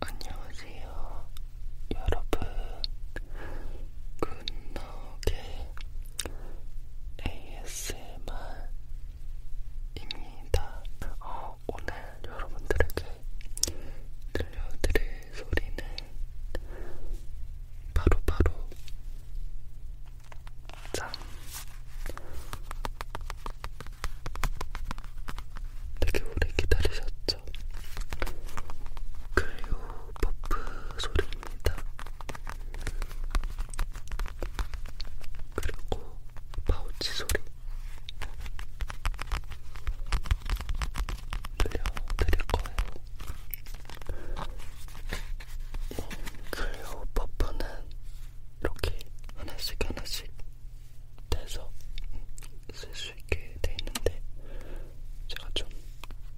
안녕하세요, 여러분. 굿노게 ASMR입니다. 어, 오늘 여러분들에게 들려드릴 소리는 바로바로 바로 짠! 되게 오래 기다리셨죠? 있죠. 클리오 버프 소리입니다. 그리고 파우치 소리 들려드릴 거예요. 이 네, 클리오 버프는 이렇게 하나씩 하나씩 돼서 쓸 수 있게 돼 있는데 제가 좀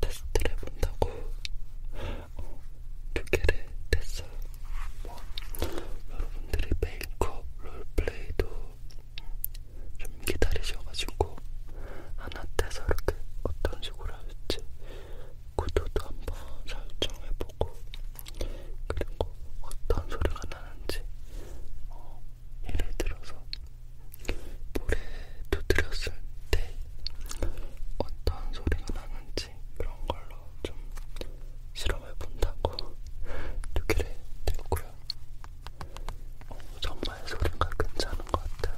테스트를 해본다고 어, 두 개를 뗐어요. 뭐 여러분들이 메이크업 롤플레이도 좀 기다리셔가지고 하나 떼서 이렇게 어떤 식으로 할지 구도도 한번 설정해보고 그리고 어떤 소리가 나는지 어, 예를 들어서 물에 두드렸을 때 어떤 소리가 나는지 그런 걸로 좀 실험해 본다고 두 개를 들고요. 어, 정말 소리가 괜찮은 것 같아요.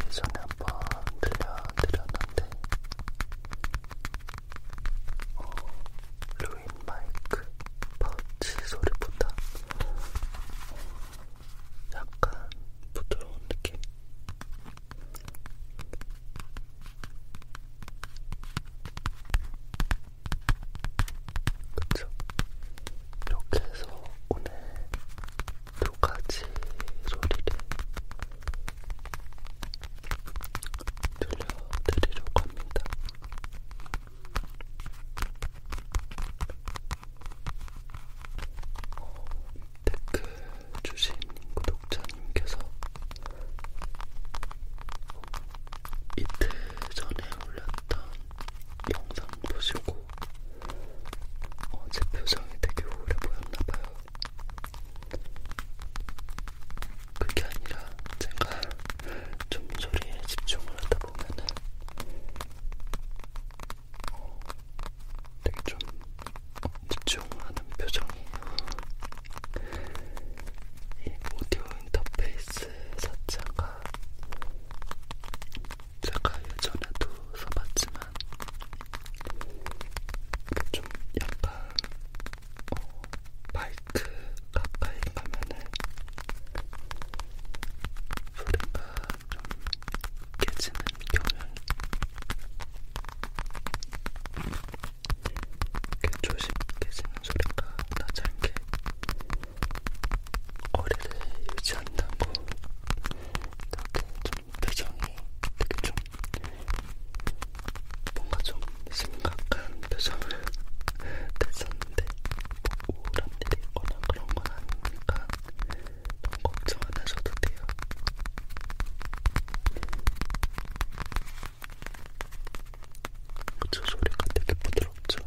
예전에 한번 들려드렸는데 어, 루인 마이크 파우치 소리보다 약간 부드러운 느낌? 그쵸? 이렇게 해서 오늘 두 가지 소리를 들려드리려고 합니다. 어, 댓글 주신 구독자님께서 이틀 전에 올렸던 영상 보시고 어, 제 표정이 되게 우울해 보였나봐요. 그게 아니라 제가 좀 소리에 집중을 하다 보면은 어, 되게 좀 어, 집중하는 표정이에요. 이 오디오 인터페이스 자체가 제가 예전에도 써봤지만 좀 약간 어, 마이크 가까이 가면은 소리가 좀 깨지는 경향 조심 깨지는 소리가 나지 않게 거리를 유지한다고 이렇게 좀 표정이 되게 좀 뭔가 좀 심각한 표정을 냈었는데 뭐 우울한 일이 있거나 그런 건 아니니까 너무 걱정 안 하셔도 돼요. 그쵸 소리가 되게 부드럽죠?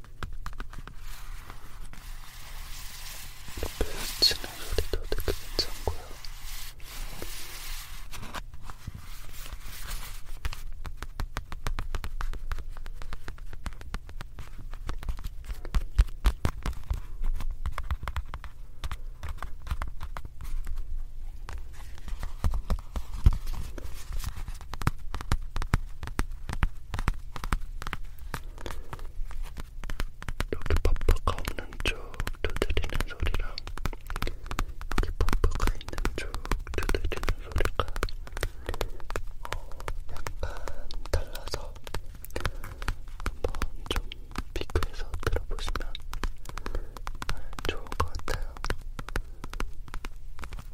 치는 소리도 되게 괜찮고요. 여기 퍼프가 없는 쪽 두드리는 소리랑 여기 퍼프가 있는 쪽 두드리는 소리가 어, 약간 달라서 한번 좀 비교해서 들어보시면 좋을 것 같아요.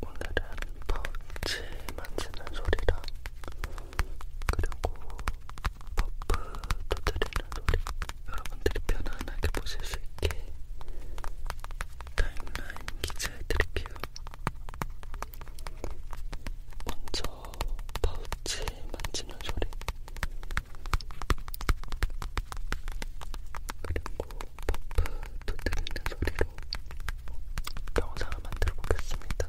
오늘은 파우치 만지는 소리랑 그리고 퍼프 터뜨리는 소리 여러분들이 편안하게 보실 수 있게 타임라인 기재해드릴게요. 먼저 파우치 만지는 소리 그리고 퍼프 두드리는 소리로 영상을 만들어 보겠습니다.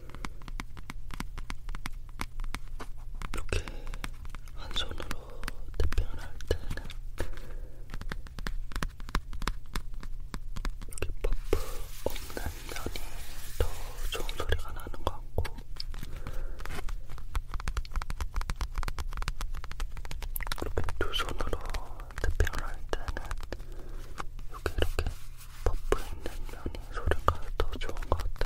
이렇게 한 손으로 태핑을 할 때는 이렇게 퍼프 없는 면이 더 좋은 소리가 나는 것 같고 이렇게 두 손으로 태핑을 할 때는 이렇게 이렇게 퍼프 있는 면이 소리가 더 좋은 것 같아요.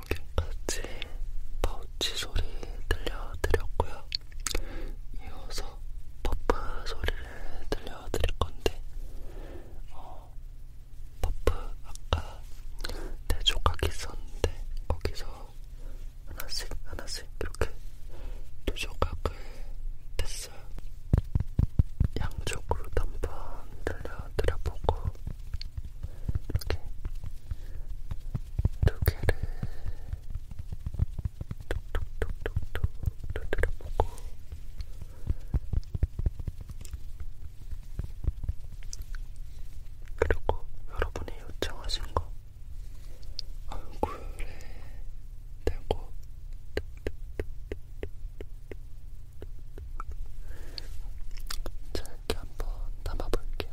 여기까지 파우치 소리 들려드렸고요. 이어서 퍼프 소리를 들려드릴 건데, 어, 퍼프 아까 내 조각이 있었는데 거기서 하나씩 하나씩 이렇게 두 조각을 뺐어요. 양쪽으로도 한번 들려드려보고 이렇게 두 개를 톡톡톡톡톡 두드려보고 그리고 여러분이 요청하신 거 얼굴에 대고 짧게 한번 담아볼게요.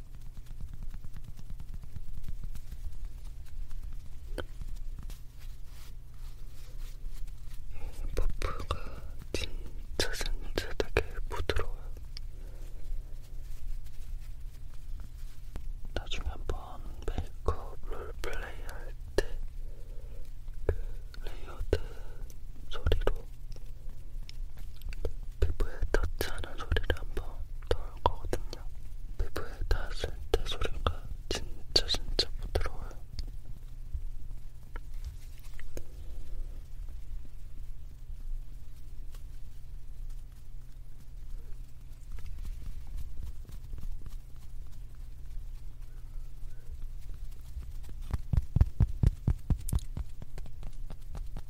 퍼프가 진짜 진짜 되게 부드러워요. 나중에 한번 메이크업 롤플레이 할때 그 레이어드 소리로 피부에 닿지 않은 소리를 한번 넣을 거거든요. 피부에 닿았을 때 소리가 진짜 진짜 부드러워요.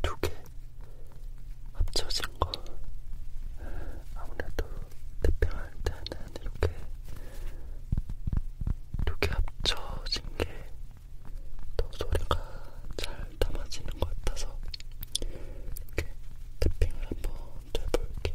두개 합쳐진 거 아무래도 대평할 때는 이렇게 두 개 합쳐진 게더 소리가 잘 담아지는 것 같아서 이렇게 탭핑을 한 번 해볼게요.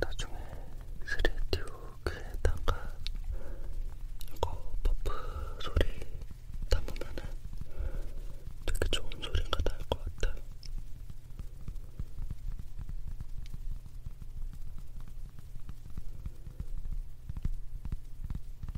나중에 스레디오 귀에다가 이거 버프 소리 담으면은 되게 좋은 소리가 날 것 같아.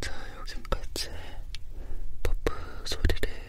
자, 여기까지 버프 소리를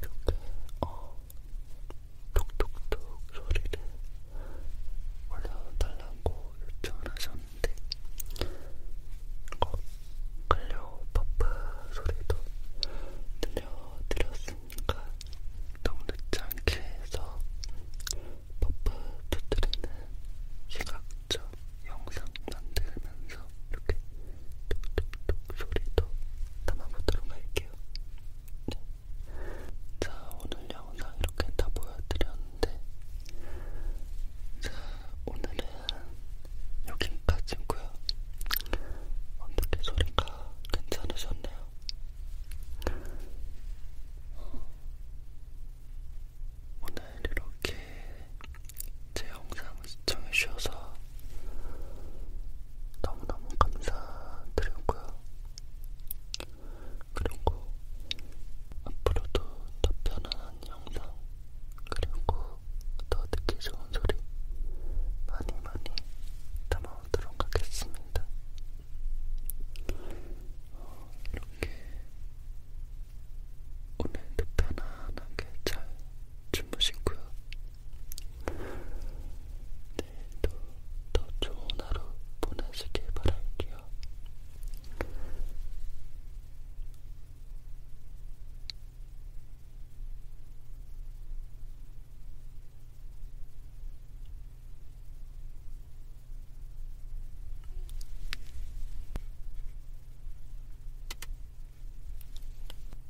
이렇게 어 톡톡톡 소리를 올려달라고 요청을 하셨는데 이거 어, 클리오 퍼프 소리도 들려드렸으니까 너무 늦지 않게 해서 퍼프 두드리는 시각적 영상 살짝 만들면서 이렇게 톡톡톡 소리도 담아보도록 할게요. 네. 자, 오늘 영상 이렇게 다 보여드렸는데, 자, 오늘은 여기까지고요. 어떻게 소리가 괜찮으셨나요? 오늘 이렇게 제 영상을 시청해주셔서 너무너무 감사드리고요. 그리고 앞으로도 더 편안한 영상, 그리고 더 듣기 좋은 소리 많이 많이 담아오도록 하겠습니다. 어, 이렇게 오늘도 편안하게 잘 주무시고요. 내일도 네, 더 좋은 하루 보내시길 바랄게요.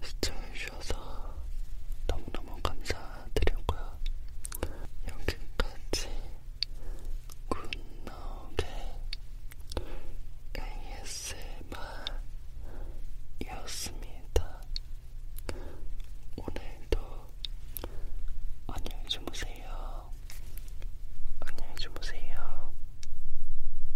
시청해주셔서 너무너무 감사드리고요. 여기까지 굿나오게 ASMR이었습니다. 오늘도 안녕히 주무세요. 안녕히 주무세요.